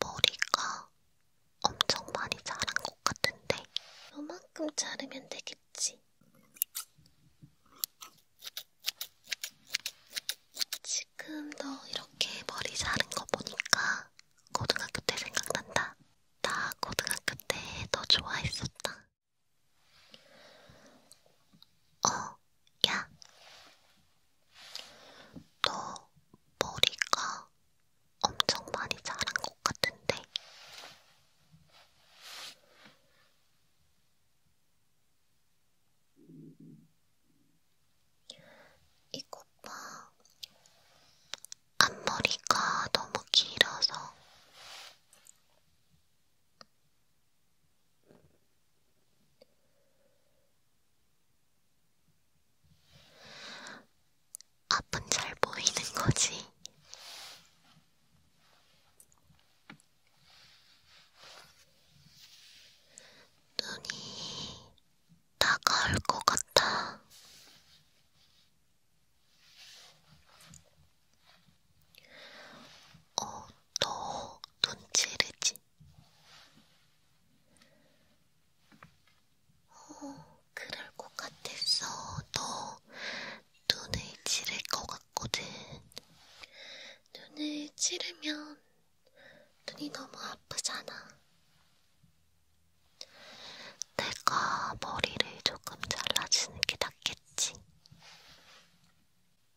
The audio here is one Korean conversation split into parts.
머리가 엄청 많이 자란 것 같은데 요만큼 자르면 되겠지. 지금 너 이렇게 머리 자른 거 보니까 고등학교 때 생각난다. 나 고등학교 때 너 좋아했었다. 어, 야, 너 머리가 엄청 많이 자란 것 같은데? 이것 봐. 앞머리가 너무 길어서 앞은 잘 보이는 거지. 눈이 다가올 것 같아. 어, 너눈 찌르지? 어, 그럴 것 같았어. 너 눈을 찌를 것 같거든. 눈을 찌르면 눈이 너무 아프잖아. 내가 머리를 조금 잘라주는 게 낫겠지.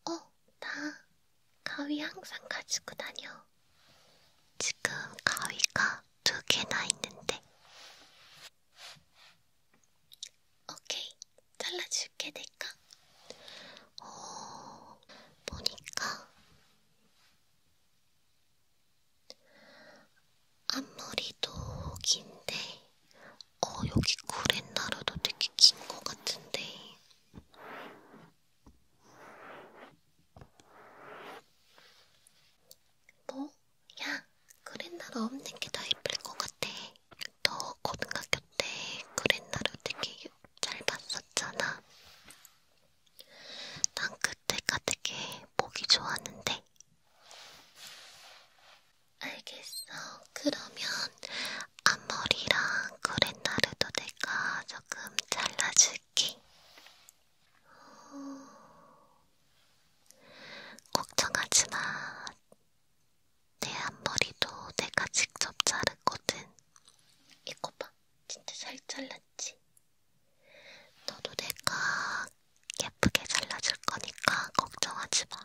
어, 나 가위 항상 가지고 다녀. 지금 가위가 두 개나 있는데. 오케이, 잘라줄게, 내가. 오, 어, 보니까 앞머리도 긴데, 어, 여기 구렛나루도 되게 긴 것 같은데. 뭐? 야, 그랜나루 없는 게더 예쁠 것 같아. 너 고등학교 때 그랜나루 되게 잘 봤었잖아. 난 그때가 되게 보기 좋았는데. 알겠어. 그러면 앞머리랑 그랜나루도 내가 조금 잘라줄 느낌. 걱정하지 마. 내 앞머리도 내가 직접 자르거든. 이거 봐. 진짜 잘 잘랐지? 너도 내가 예쁘게 잘라줄 거니까 걱정하지 마.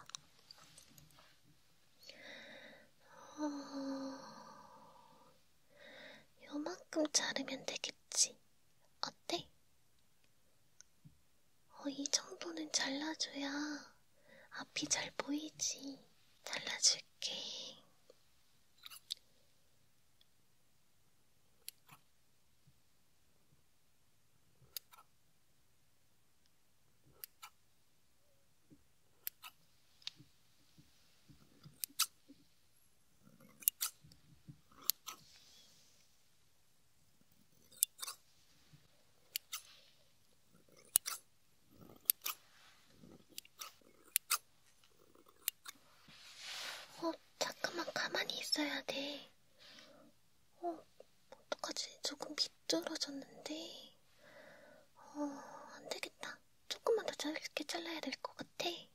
어... 요만큼 자르면 되겠지. 어때? 어, 이 정도는 잘라줘야 앞이 잘 보이지. 잘라줄게. 어, 잠깐만 가만히 있어야 돼. 어, 어떡하지? 조금 비뚤어졌는데. 어, 안 되겠다. 조금만 더 짧게 잘라야 될 것 같아. 어,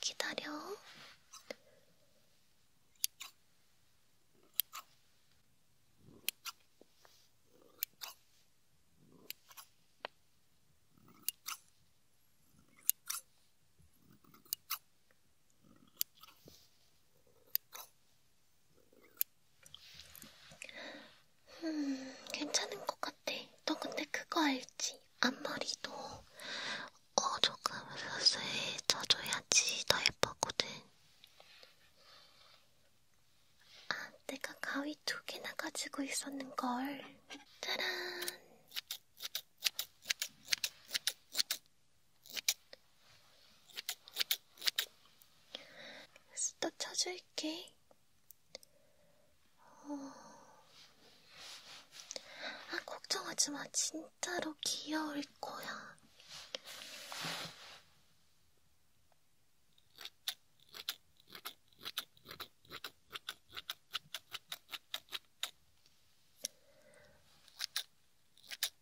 기다려. 음, 괜찮은 것 같아. 너 근데 그거 알지? 앞머리도 어 조금 서서해져줘야지 더 예쁘거든. 아, 내가 가위 두 개나 가지고 있었는걸. 짜란! 스타 쳐줄게. 어... 아, 걱정하지 마. 진짜로 귀여울 거야.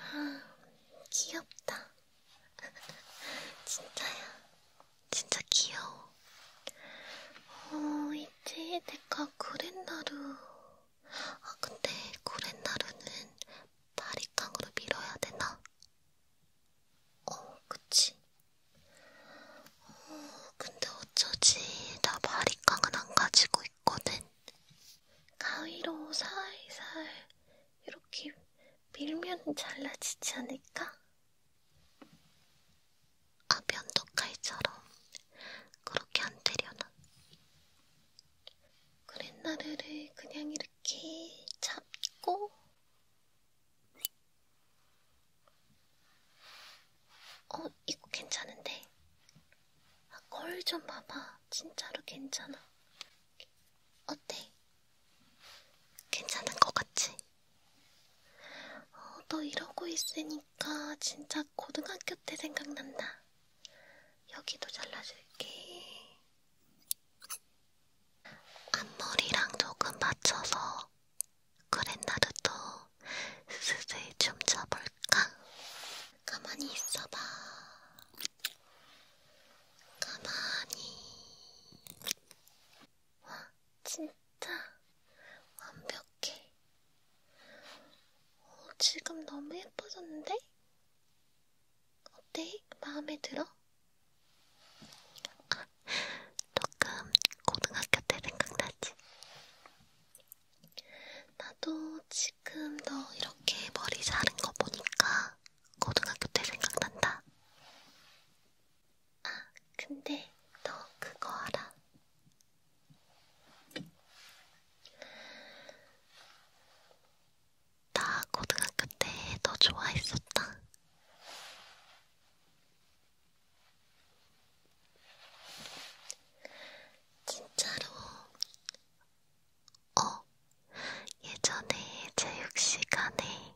아, 귀엽다. 진짜야. 진짜 귀여워. 어, 이제 내가 고렌나루. 아, 근데 고렌나루는 바리깡으로 밀어야 되나? 어, 그치. 근데 어쩌지 나 바리깡은 안 가지고 있거든. 가위로 살살 이렇게 밀면 잘라지지 않을까? 아 면도칼처럼 그렇게 안 되려나? 그랜나르를 그냥 이렇게 잡고 어, 이거 괜찮은데? 아, 거울 좀 봐봐. 진짜로 괜찮아. 어때? 괜찮은 것 같지? 어, 너 이러고 있으니까 진짜 고등학교 때 생각난다. 여기도 잘라줄게. 앞머리랑 조금 맞춰서 그랜나르도 슬슬 춤춰볼까? 가만히 있어봐. 가만히. 와, 진짜 완벽해. 오, 어, 지금 너무 예뻐졌는데? 어때? 마음에 들어? 아, 조금 고등학교 때 생각나지? 나도 지금 너 이렇게 머리 자른 거 보니까 고등학교 때 생각난다. 아, 근데 너 그거 알아? 나 고등학교 때 너 좋아했었다. 진짜로, 어, 예전에 체육 시간에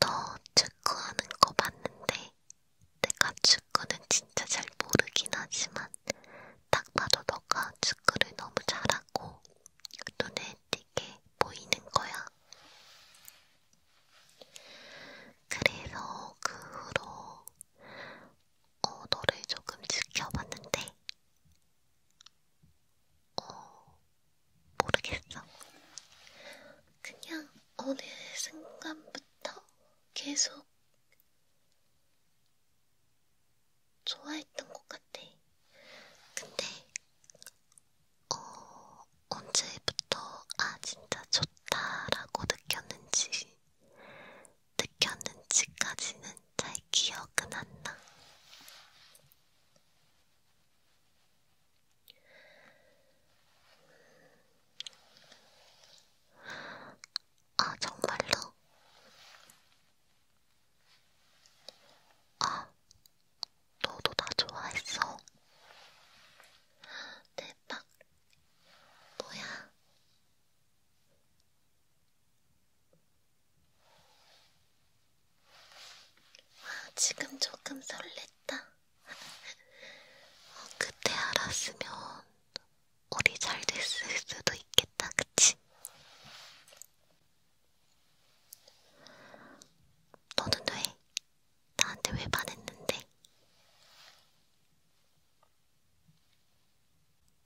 너 축구하는 거 봤는데, 내가 축구는 진짜 잘 모르긴 하지만, 딱 봐도 너가 축구를 너무 잘하고, 그 눈에 띄게 보이는 거야. 그래서 그 후로 어, 너를 조금 지켜봤는데, 어, 모르겠어. 그냥 어느 순간부터 계속 좋아했던 것 같아. 근데 어, 언제부터 아 진짜 좋다라고 느꼈는지 느꼈는지까지는 잘 기억은 안 나. 아, 정말로? 아, 너도 나 좋아했어. 대박. 네, 뭐야? 아, 지금 조금 설렜다. 어, 그때 알았으면 우리 잘 됐을 수도 있겠다, 그치? 너는 왜 나한테 왜 반했는데?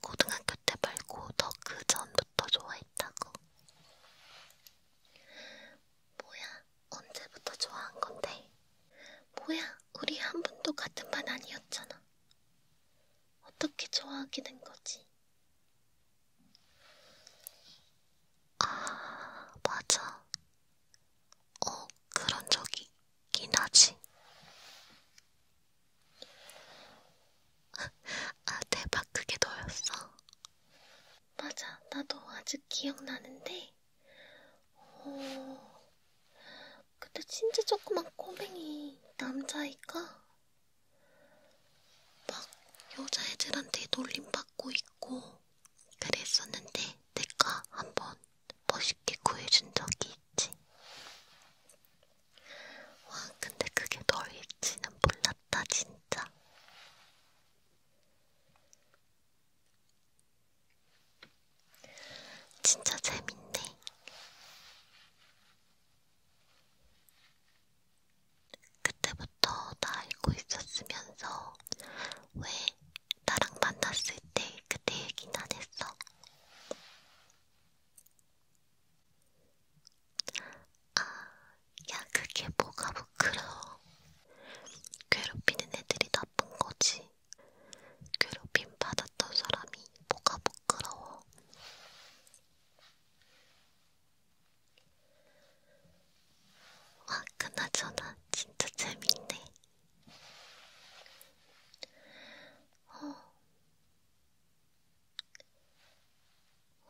고등학교 때 말고 더 그 전부터 좋아했다고. 뭐야, 언제부터 좋아한 건데? 뭐야, 우리 한 번도 같은 반 아니었잖아. 어떻게 좋아하게 된 거지? 아, 맞아. 어, 그런 적이 있긴 하지. 아, 대박, 그게 너였어. 맞아, 나도 아직 기억나는데. 어, 그때 진짜 조그만 꼬맹이 남자애가 막 여자애들한테 놀림받고 있고, 그랬었는데 내가 한번 멋있게 구해준 적이 있지. 와, 근데 그게 너일지는 몰랐다, 진짜. 진짜 재밌네. 그때부터 전부터 다 알고 있었으면서 왜 나랑 만났을 때 그때 얘기는 안 했어? 아, 야 그게 뭐가 부끄러워. 괴롭히는 애들이 나쁜 거지. 괴롭힘 받았던 사람이 뭐가 부끄러워. 아, 그나저나 진짜 재밌네. 어.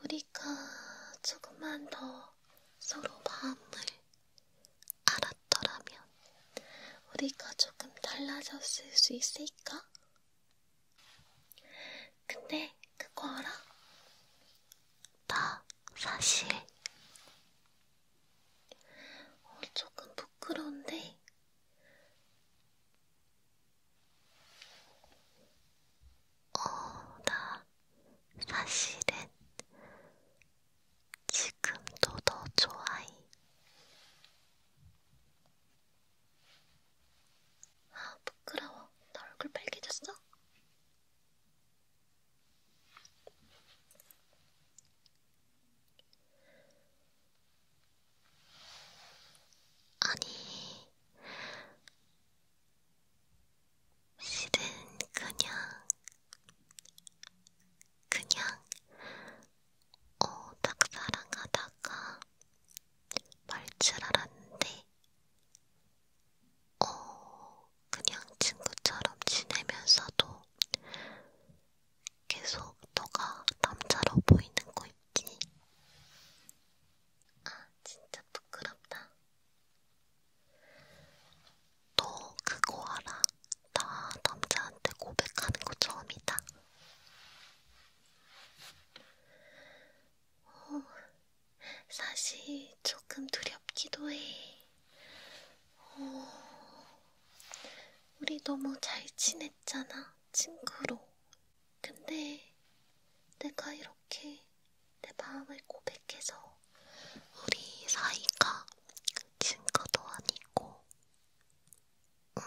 우리가 조금만 더 서로 마음을 알았더라면 우리가 조금 달라졌을 수 있을까? 근데 그거 알아? 나 사실 어, 조금 부끄러운데 어, 나 사실은 지금도 더 좋아해. 아, 부끄러워. 나 얼굴 빨개졌어? 아니, 실은 그냥, 그냥, 어, 딱 사랑하다가 말 줄 알았는데, 어, 그냥 친구처럼 지내면서도 계속 너가 남자로 보이는 거 있지? 아, 진짜 부끄럽다. 너 그거 알아? 나 남자한테 고백하는 거 처음이다. 어, 사실 조금 두렵기도 해. 어... 우리 너무 잘 지냈잖아, 친구로. 근데 내가 이렇게 내 마음을 고백해서 우리 사이가 친구도 아니고, 음,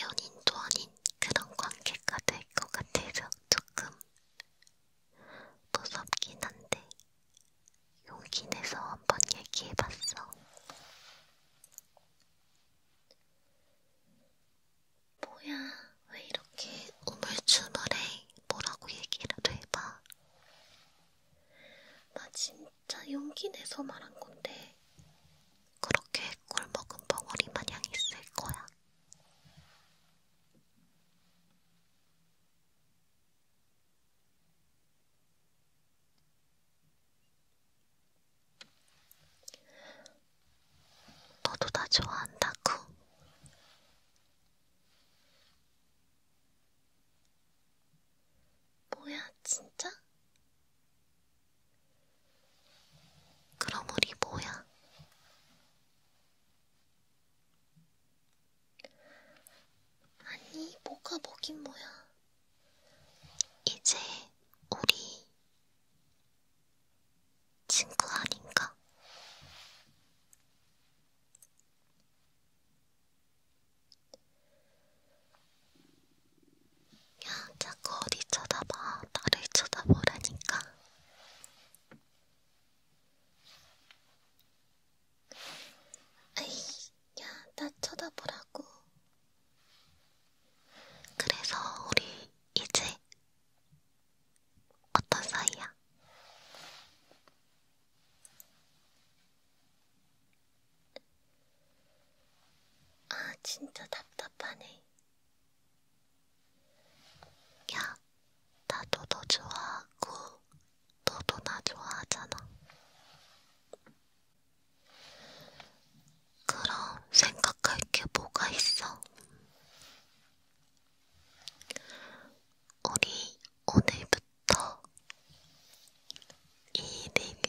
연인도 아닌 그런 관계가 될 것 같아서 조금 무섭긴 한데 용기 내서 한번 얘기해봤어. 뭐야, 왜 이렇게 우물쭈물해? 뭐라고 얘기라도 해봐. 나 진짜 용기 내서 말한 건데, 그렇게 꿀 먹은 벙어리 마냥 있을 거야. 너도 나 좋아한다고? 뭐야, 진짜? 그럼 우리 뭐야? 아니, 뭐가 뭐긴 뭐야. 이제 우리 친구 아닌가? 야, 자꾸 어디 쳐다봐. 나를 쳐다보라니까. 에이, 야, 나 쳐다보라고. 그래서 우리 이제 어떤 사이야? 아, 진짜 답답하네. 야, 나도 너 좋아하고 너도 나 좋아하잖아. 그럼 생각할 게 뭐가 있어? 우리 오늘부터 이일